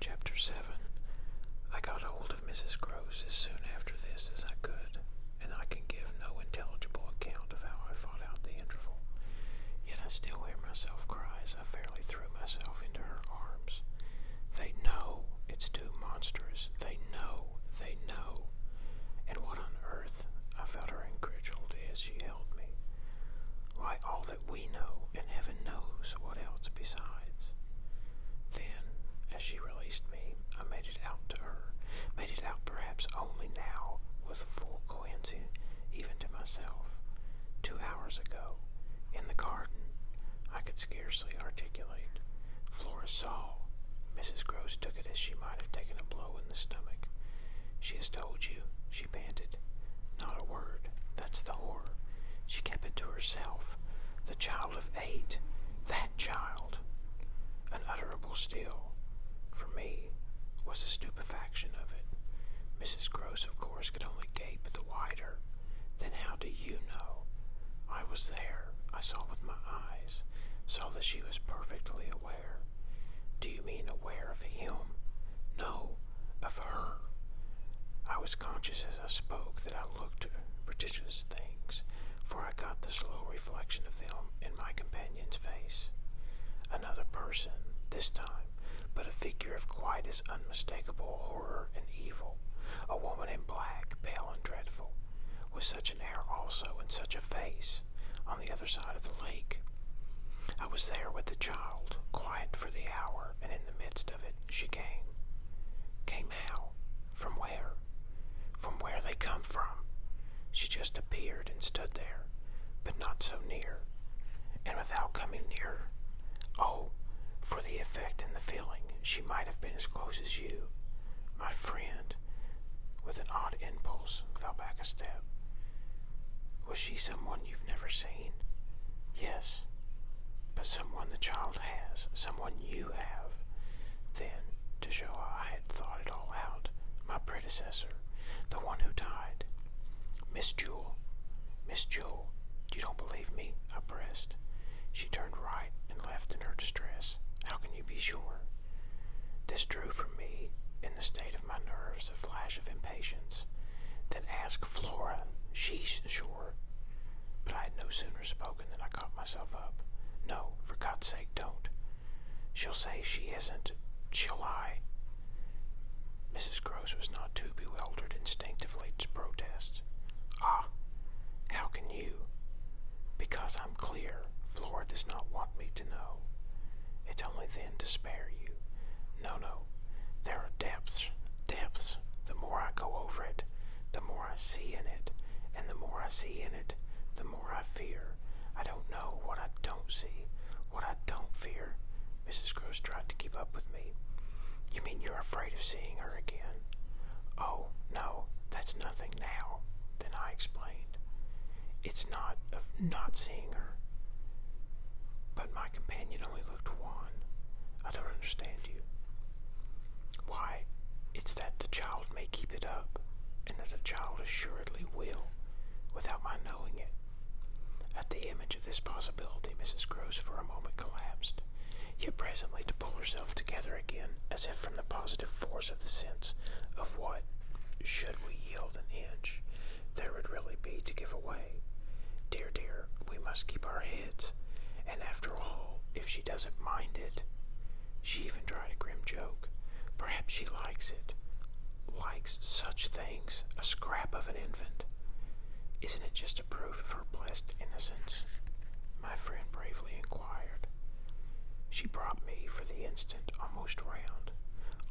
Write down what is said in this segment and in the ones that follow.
Chapter 7 I got hold of Mrs. Gross as soon after this as I could, and I can give no intelligible account of how I fought out the interval. Yet I still hear myself cry as I fairly threw myself into her arms. They know it's too monstrous. They know. They know. And what on earth, I felt her incredulity as she held me. Why, all that we know, and heaven knows what else besides. Then, as she released me, I made it out to her, made it out perhaps only now with full, even to myself. Two hours ago, in the garden, I could scarcely articulate. Flora saw. Mrs. Gross took it as she might have taken a blow in the stomach. She has told you, she panted. Not a word. That's the horror. She kept it to herself. The child of eight. That child unutterable still, for me, was the stupefaction of it. Mrs. Gross, of course, could only gape the wider. Then how do you know? I was there. I saw with my eyes. Saw that she was perfectly aware. Do you mean aware of him? No, of her. I was conscious as I spoke that I looked at prodigious things, for I caught the slow reflection of them in my companion. Another person, this time, but a figure of quite as unmistakable horror and evil. A woman in black, pale and dreadful, with such an air also and such a face, on the other side of the lake. I was there with the child, quiet for the hour, and in the midst of it she came. Came how? From where? From where they come from? She just appeared and stood there, but not so near, and without coming near. Oh, for the effect and the feeling, she might have been as close as you, my friend. With an odd impulse, fell back a step. Was she someone you've never seen? Yes, but someone the child has, someone you have. Then, to show how I had thought it all out, my predecessor, the one who died. Miss Jewel, Miss Jewel, you don't believe me? I pressed. She turned right and left in her distress. How can you be sure? This drew from me, in the state of my nerves, a flash of impatience. Then ask Flora. She's sure. But I had no sooner spoken than I caught myself up. No, for God's sake, don't. She'll say she isn't. She'll lie. Mrs. Gross was not too bewildered instinctively to protest. Ah, how can you? Because I'm clear, Flora does not want me to know. It's only then to spare you. No, no, there are depths, depths. The more I go over it, the more I see in it, and the more I see in it, the more I fear. I don't know what I don't see, what I don't fear. Mrs. Gross tried to keep up with me. You mean you're afraid of seeing her again? Oh, no, that's nothing now. Then I explained. It's not of not seeing her. But my companion only looked wan. I don't understand you. Why, it's that the child may keep it up, and that the child assuredly will, without my knowing it. At the image of this possibility, Mrs. Gross for a moment collapsed, yet presently to pull herself together again, as if from the positive force of the sense of what, should we yield an inch, there would really be to give away. Dear, dear, we must keep our heads, and after all, if she doesn't mind it, she even tried a grim joke. Perhaps she likes it likes such things, a scrap of an infant. Isn't it just a proof of her blessed innocence? My friend bravely inquired. She brought me, for the instant, almost round.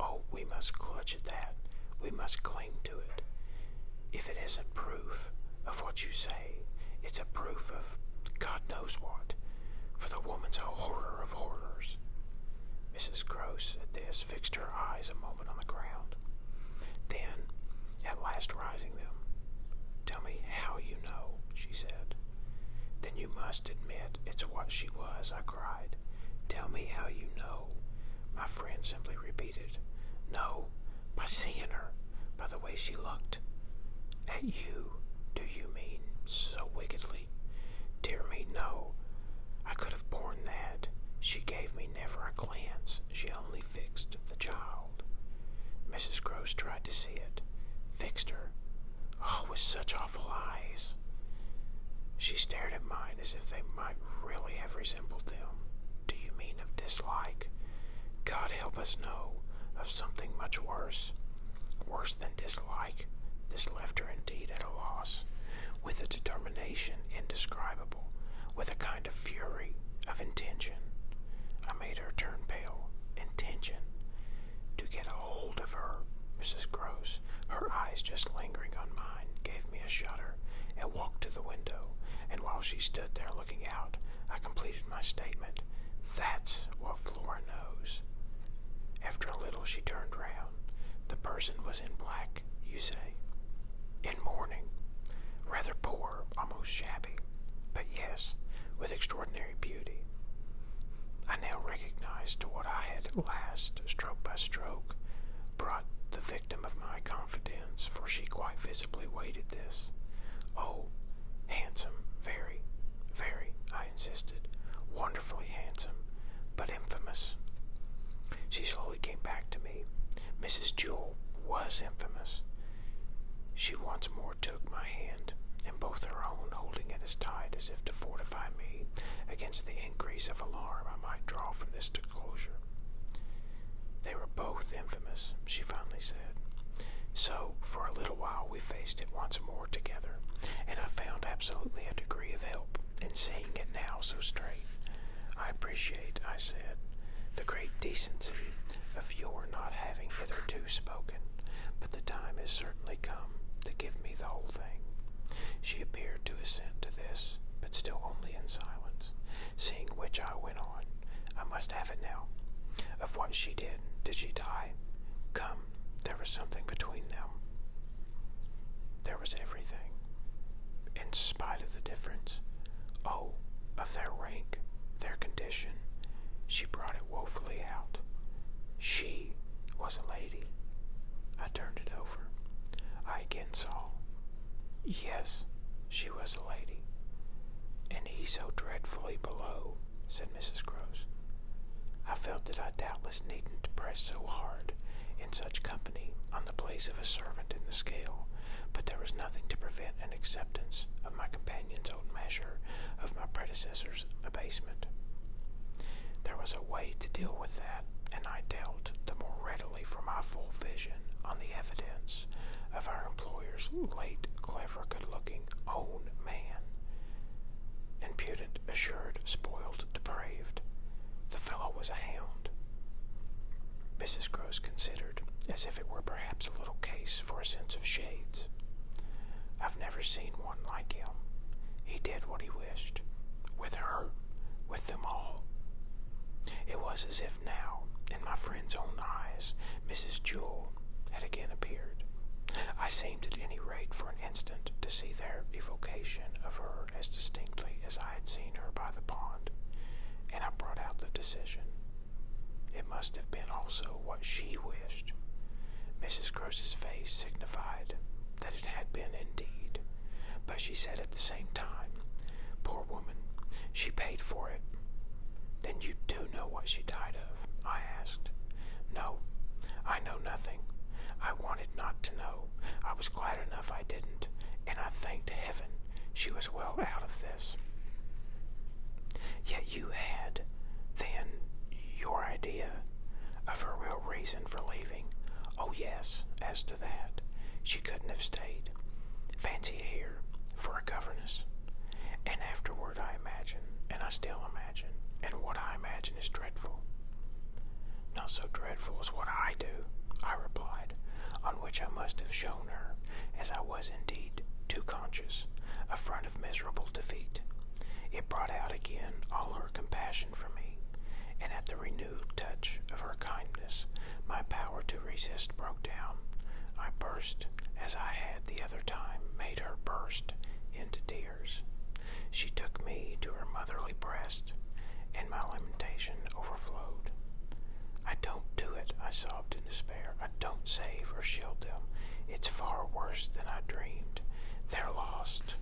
Oh, we must clutch at that. We must cling to it. If it isn't proof of what you say, it's a proof of God knows what, for the woman's a horror of horrors. Mrs. Gross, at this, fixed her eyes a moment on the ground. Then, at last rising them, Tell me how you know, she said. Then you must admit it's what she was, I cried. Tell me how you know. My friend simply repeated, No, by seeing her, by the way she looked. At you, do you mean so wickedly? Dear me, no. I could have borne that. She gave me never a glance. She only fixed the child. Mrs. Gross tried to see it. Fixed her. Oh, with such awful eyes. She stared at mine as if they might really have resembled them. Do you mean of dislike? God help us, no. Of something much worse. Worse worse than dislike, this left her indeed at a loss, with a determination indescribable, with a kind of fury, of intention. I made her turn pale. Intention. To get a hold of her, Mrs. Gross, her eyes just lingering on mine, gave me a shudder and walked to the window, and while she stood there looking out, I completed my statement. That's what Flora knows. After a little, she turned round. The person was in black, you say. In mourning. Rather poor, almost shabby, but yes, with extraordinary beauty. I now recognized to what I had at last, stroke by stroke, brought the victim of my confidence, for she quite visibly waited this. Oh, handsome, very, very, I insisted, wonderfully handsome, but infamous. She slowly came back to me. Mrs. Jewel was infamous. She once more took my hand, and both her own, holding it as tight as if to fortify me against the increase of alarm I might draw from this disclosure. They were both infamous, she finally said. So, for a little while, we faced it once more together, and I found absolutely a degree of help and seeing it now so straight. I appreciate, I said, the great decency of your not having hitherto spoken, but the time has certainly come to give me the whole thing. She appeared to assent to this, but still only in silence, seeing which I went on. I must have it now. Of what she did, did she die? Come, there was something between them. There was everything, in spite of the difference, oh, of their rank, their condition. She brought it woefully out. She was a lady. I turned it over. I again saw. Yes, she was a lady. And he so dreadfully below, said Mrs. Gross. I felt that I doubtless needn't press so hard in such company on the place of a servant in the scale, but there was nothing to prevent an acceptance of my companion's own measure of my predecessor's abasement. There was a way to deal with that, and I dealt the more readily for my full vision on the evidence of our employer's late, clever, good looking own man. And assured, spoiled, depraved. The fellow was a hound. Mrs. Gross considered, as if it were perhaps a little case for a sense of shades. I've never seen one like him. He did what he wished, with her, with them all. It was as if now, in my friend's own eyes, Mrs. Jewel had again appeared. I seemed at any rate for an instant to see their evocation of her as distinctly as I had seen her by the pond, and I brought out the decision. It must have been also what she wished. Mrs. Gross's face signified that it had been indeed, but she said at the same time, Poor woman, she paid for it. Then you do know what she died of? I asked. No, I know nothing. I wanted not to know. I was glad enough if I didn't, and I thanked heaven she was well out of this. Yet you had, then, your idea of her real reason for leaving. Oh, yes, as to that, she couldn't have stayed. Fancy here for a governess. And afterward, I imagine, and I still imagine, and what I imagine is dreadful. Not so dreadful as what I do, I replied, on which I must have shown her, as I was indeed too conscious, a front of miserable defeat. It brought out again all her compassion for me, and at the renewed touch of her kindness, my power to resist broke down. I burst, as I had the other time made her burst, into tears. She took me to her motherly breast, and my lamentation overflowed. I don't do it, I sobbed in despair. I don't save or shield them. It's far worse than I dreamed. They're lost.